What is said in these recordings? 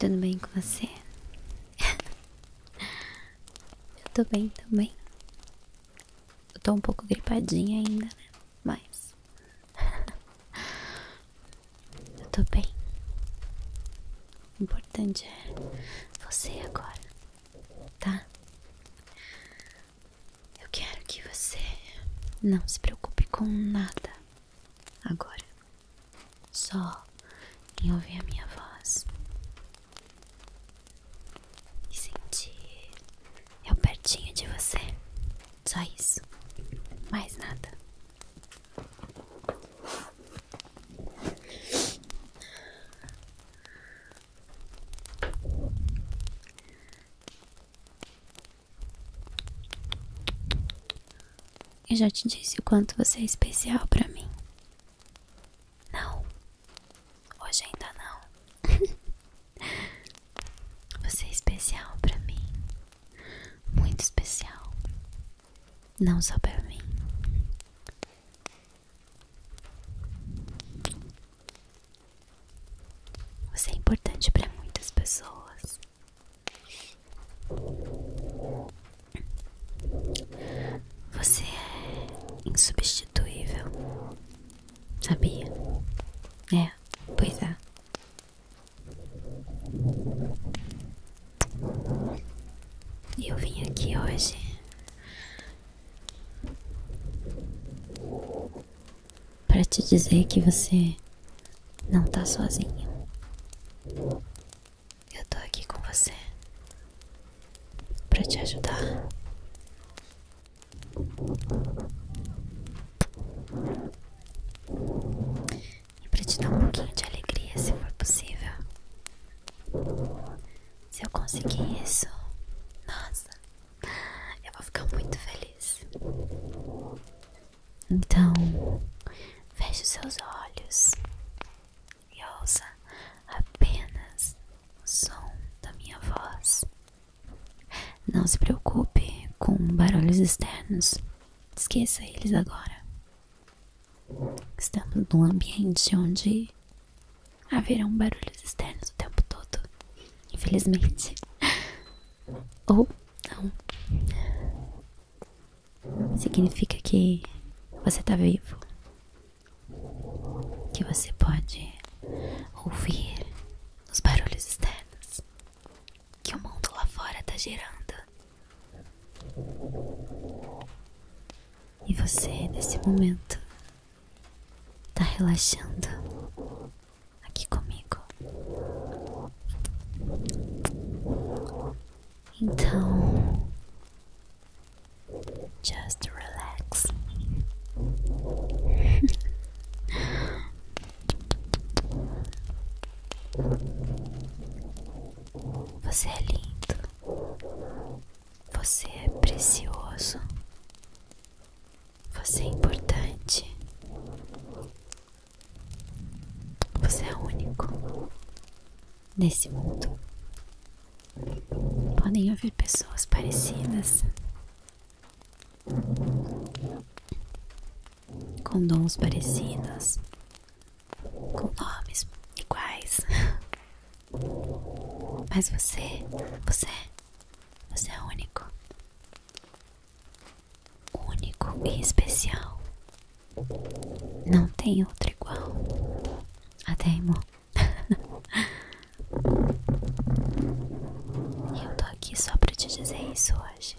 Tudo bem com você? eu tô bem também. Eu tô um pouco gripadinha ainda, né? Mas. eu tô bem. O importante é você agora, tá? Eu quero que você não se preocupe com nada agora. Só quem ouvir a minha voz e sentir eu pertinho de você. Só isso, mais nada. Eu já te disse o quanto você é especial para mim. Não. Hoje ainda não. você é especial para mim. Muito especial. Não só para mim. Você é importante para muitas pessoas. Você é insubstituível. Sabia? É, pois é. Eu vim aqui hoje para te dizer que você não tá sozinho. Eu tô aqui com você para te ajudar. E para te dar um pouquinho de alegria, se for possível. Se eu conseguir isso, nossa, eu vou ficar muito feliz. Então, feche seus olhos e ouça apenas o som da minha voz. Não se preocupe com barulhos externos, esqueça eles agora. Estamos num ambiente onde haverão barulhos externos o tempo todo, infelizmente. Ou não significa que você está vivo, que você pode ouvir os barulhos externos, que o mundo lá fora está girando. E você, nesse momento, está relaxando aqui comigo. Então, just relax. Você é lindo. Você é precioso. Você é importante. Você é único nesse mundo. Podem haver pessoas parecidas, com dons parecidos, com nomes iguais. Mas você, você, você é único único e especial. Não tem outro igual. Até irmão. Eu tô aqui só pra te dizer isso hoje.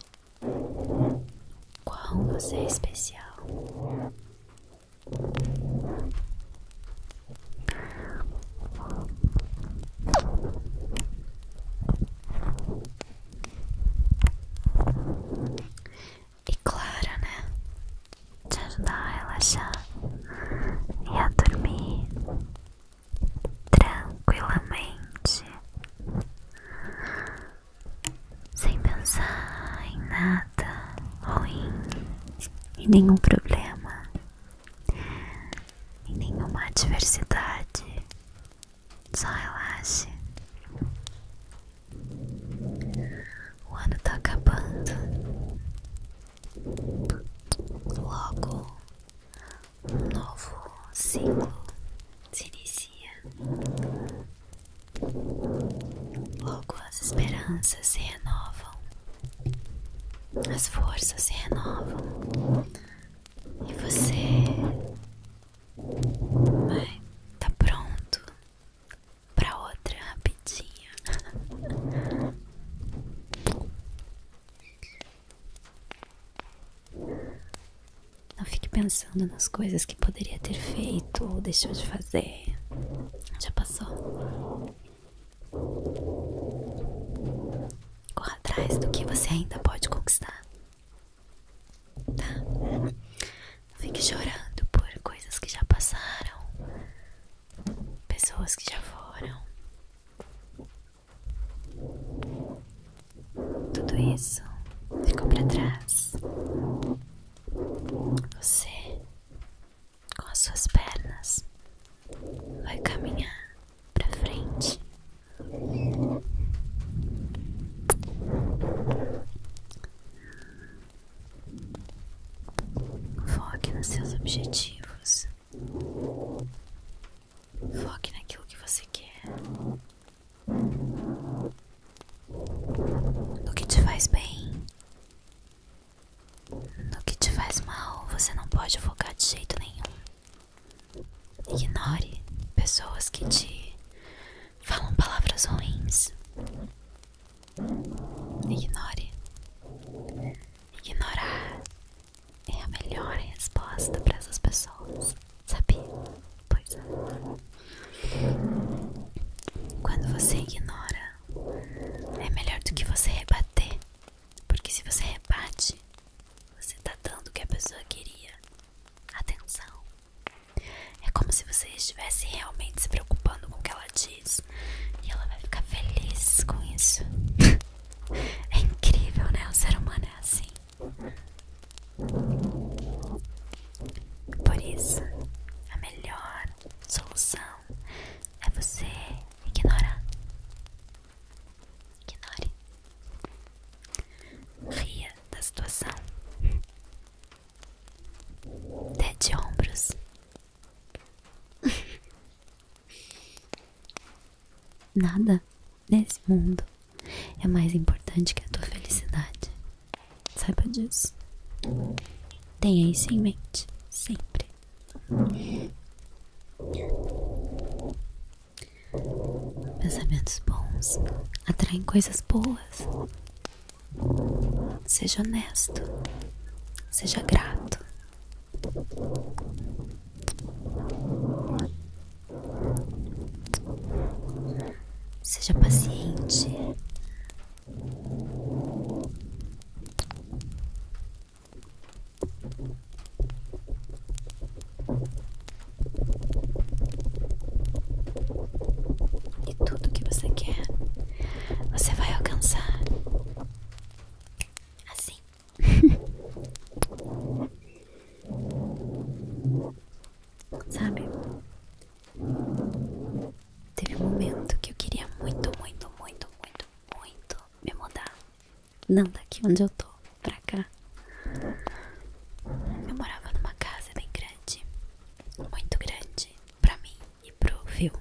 Qual você é especial? E claro, né? Te ajudar a relaxar e a dormir tranquilamente, sem pensar em nada ruim, em nenhum problema, em nenhuma adversidade, só relaxe. O ano tá acabando. Logo, um novo ciclo se inicia. Logo, as esperanças se renovam, as forças se renovam e você Vai, tá pronto pra outra rapidinha. Não fique pensando nas coisas que poderia ter feito ou deixou de fazer. Já passou. Corra atrás do que você ainda pode conquistar tá? Não fique chorando por coisas que já passaram, pessoas que já foram. Tudo isso ficou para trás. Você, com as suas pernas, vai caminhar pra frente. Foque nos seus objetivos. Foque naquilo que você quer. No que te faz bem. No que te faz mal, você não pode focar de jeito nenhum. Ignore pessoas que te falam palavras ruins. Ignore. Ignorar é a melhor resposta para essas pessoas. sabe? Pois é. Quando você ignora, é melhor do que você rebater. Porque se você rebate, você tá dando o que a pessoa queria. Atenção. É como se você estivesse realmente se preocupando com o que ela diz. E ela vai ficar feliz com isso. é incrível, né? O ser humano é assim. Por isso, a melhor solução é você ignorar. Ignore. Ria da situação. Dê de ombros. Nada nesse mundo é mais importante que a tua felicidade. Saiba disso. Tenha isso em mente sempre. Pensamentos bons atraem coisas boas. Seja honesto, seja grato. Seja paciente. E tudo que você quer, você vai alcançar assim. Sabe? Teve um momento que eu queria muito, muito, muito, muito, muito me mudar. Não daqui onde eu tô, pra cá. Eu morava numa casa bem grande, muito grande pra mim e pro viu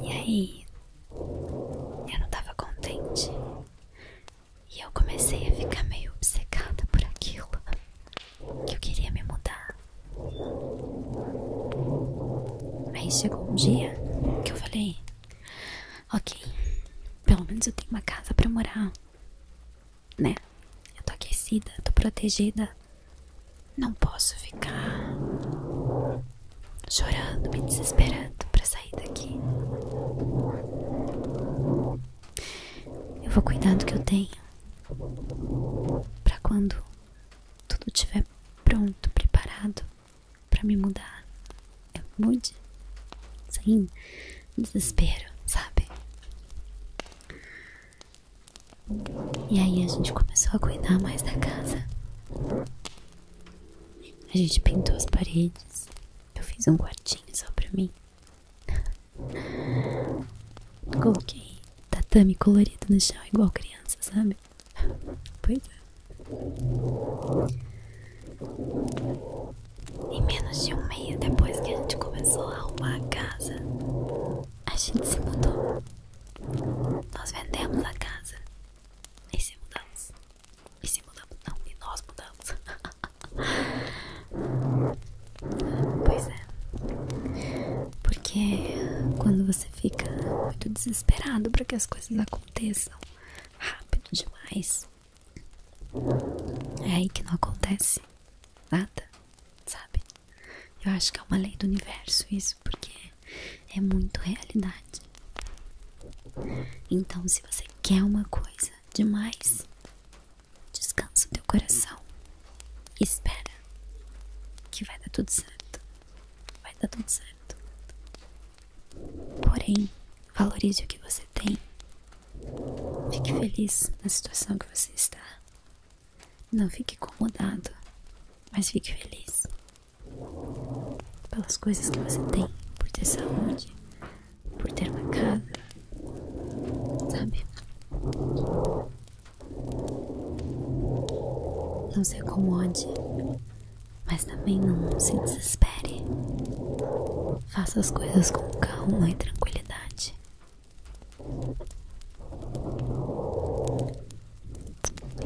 E aí, eu não tava contente. E eu comecei a ficar meio obcecada por aquilo. Que eu queria me mudar. Aí chegou um dia que eu falei: Ok, pelo menos eu tenho uma casa pra morar, né? Eu tô aquecida, tô protegida. Não posso ficar chorando, me desesperando pra sair daqui. Eu vou cuidar do que eu tenho. Pra quando tudo tiver pronto, preparado, para me mudar. Eu mude. Sem desespero, sabe? E aí a gente começou a cuidar mais da casa. A gente pintou as paredes. Eu fiz um quartinho só pra mim. Coloquei tatame colorido no chão, igual criança, sabe? Pois é. Em menos de um mês depois que a gente começou a arrumar a casa, a gente se mudou. Nós vendemos a casa e se mudamos. E se mudamos, não, e nós mudamos. pois é. Porque quando você fica muito desesperado para que as coisas aconteçam, aconteçam rápido demais. É aí que não acontece nada, sabe? Eu acho que é uma lei do universo isso, porque é muito realidade. Então, se você quer uma coisa demais, descansa o teu coração. Espera que vai dar tudo certo vai dar tudo certo. Porém, valorize o que você tem. Fique feliz na situação que você está. Não fique incomodado, mas fique feliz pelas coisas que você tem, por ter saúde, por ter uma casa, sabe? Não se acomode mas também não se desespere. Faça as coisas com calma e tranquilidade.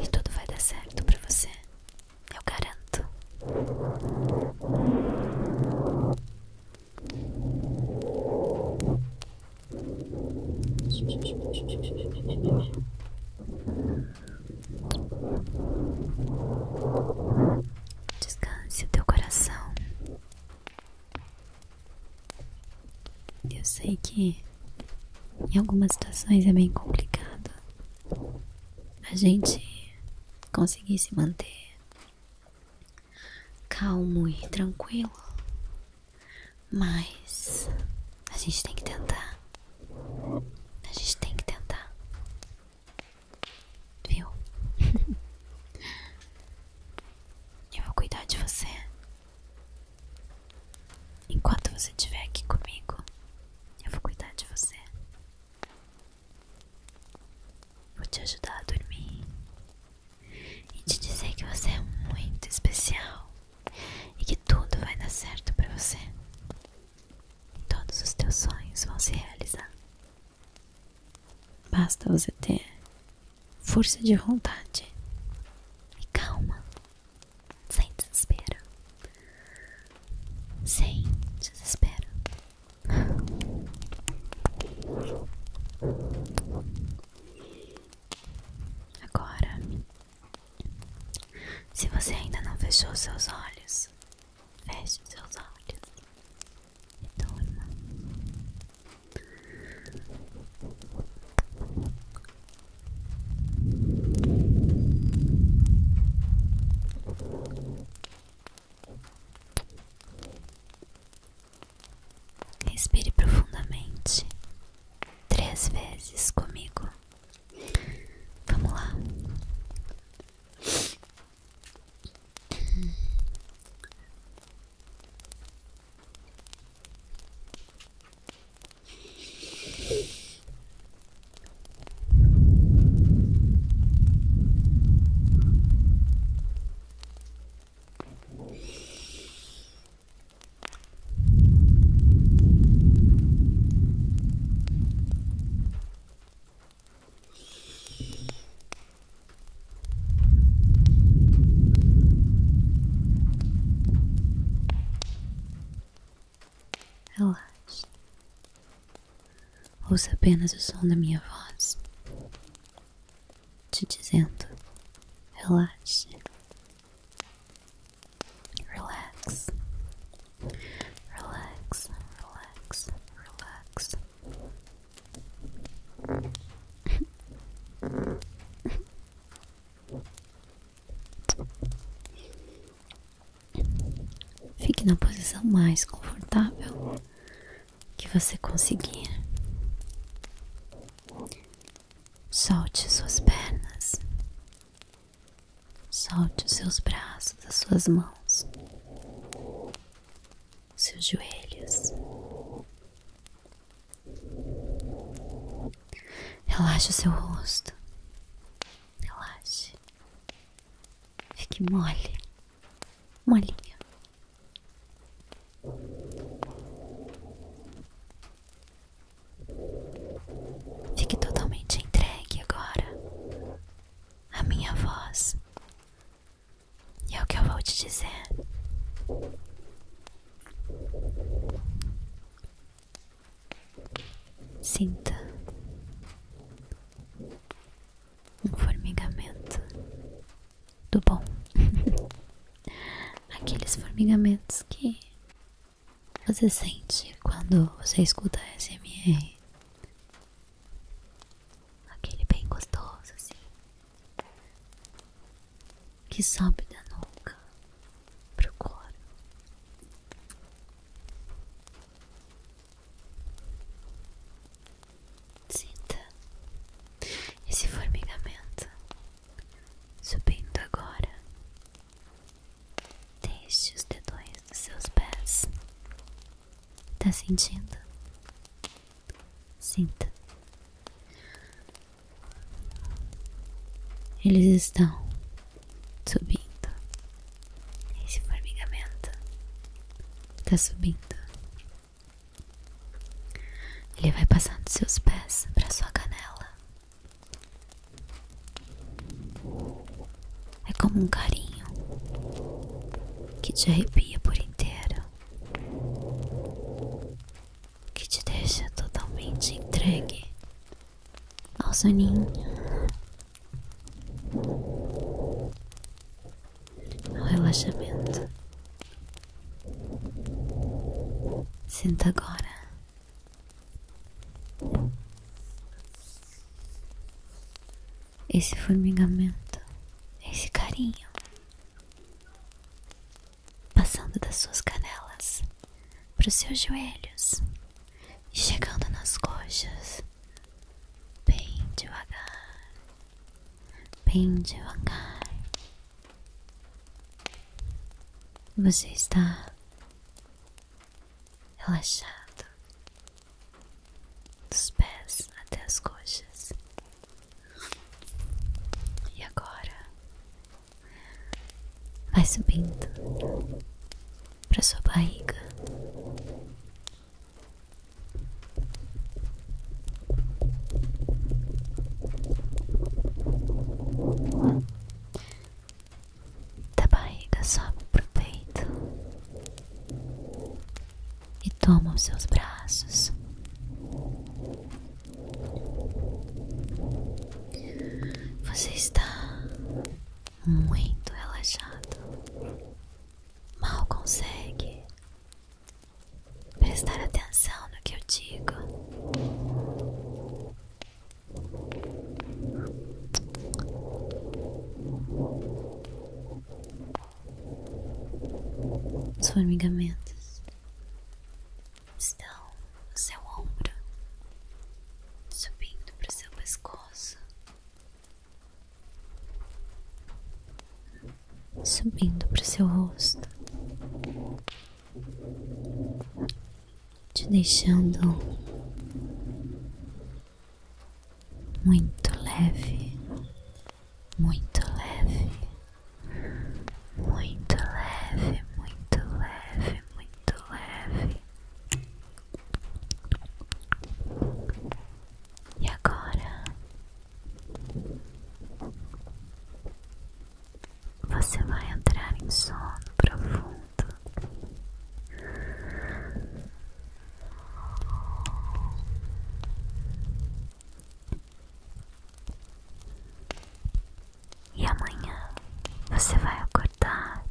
E tudo vai dar certo para você, eu garanto. Descanse o teu coração. Eu sei que em algumas situações é bem complicado a gente conseguir se manter calmo e tranquilo mas a gente tem que tentar. A gente tem que tentar. Viu? Eu vou cuidar de você. Enquanto você estiver aqui comigo, eu vou cuidar de você. Vou te ajudar a dormir e te dizer que você é muito especial e que tudo vai dar certo para você. Todos os teus sonhos vão se realizar. Basta você ter força de vontade e calma, sem desespero. Sem desespero. Agora se você ainda não fechou seus olhos, feche seus olhos e durma. Respire profundamente três vezes comigo. Vamos lá. Relaxe. Ouça apenas o som da minha voz, te dizendo: relaxe, Relax, relax, relax, relax. Fique na posição mais confortável que você conseguir. Solte suas pernas. Solte seus braços, as suas mãos, seus joelhos. Relaxe seu rosto. Relaxe. Fique mole. Molinha. Fique totalmente entregue agora à minha voz e ao é que eu vou te dizer. Sinta um formigamento do bom. Aqueles formigamentos que você sente quando você escuta SMR. Aquele bem gostoso, assim. Que sobe da nuca pro couro. Sinta esse formigamento Subindo agora, deixe os dedões dos seus pés. Tá sentindo? Sinta. Eles estão subindo. Esse formigamento tá subindo. Ele vai passando seus pés para sua canela. É como um carinho que te arrepia por inteiro, que te deixa totalmente entregue ao soninho, ao relaxamento sinto agora. Esse formigamento, esse carinho passando das suas canelas para os seus joelhos e chegando nas coxas, bem devagar, bem devagar, você está relaxado dos pés até as coxas. E agora vai subindo para sua barriga. Da barriga sobe pro peito e toma os seus braços. Você está muito relaxado, mal consegue prestar atenção no que eu digo. Os formigamentos estão no seu ombro, subindo para o seu pescoço subindo para seu rosto, te deixando muito leve, muito leve, muito leve, muito leve, muito leve. E agora você vai entrar em sono profundo. E amanhã você vai acordar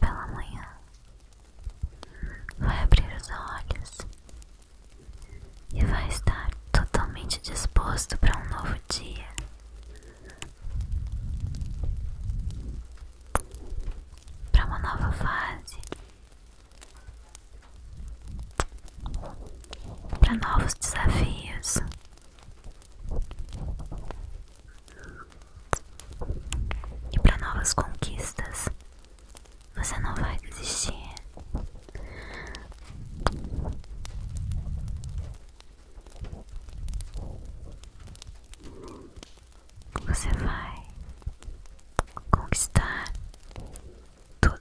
pela manhã, vai abrir os olhos e vai estar totalmente disposto para um novo dia. Para uma nova fase, para novos desafios, e para novas conquistas. Você não vai desistir. Você vai conquistar tudo,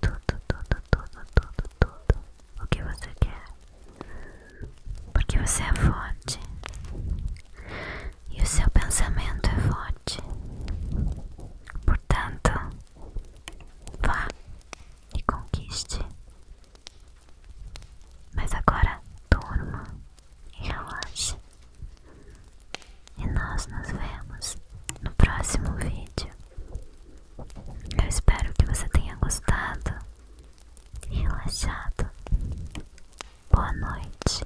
tudo, tudo, tudo, tudo, tudo o que você quer, porque você é forte e o seu pensamento é forte. Portanto, vá e conquiste. Mas agora durma e relaxe. E nós nos vemos no próximo vídeo. Eu espero que você tenha gostado e relaxado. Boa noite.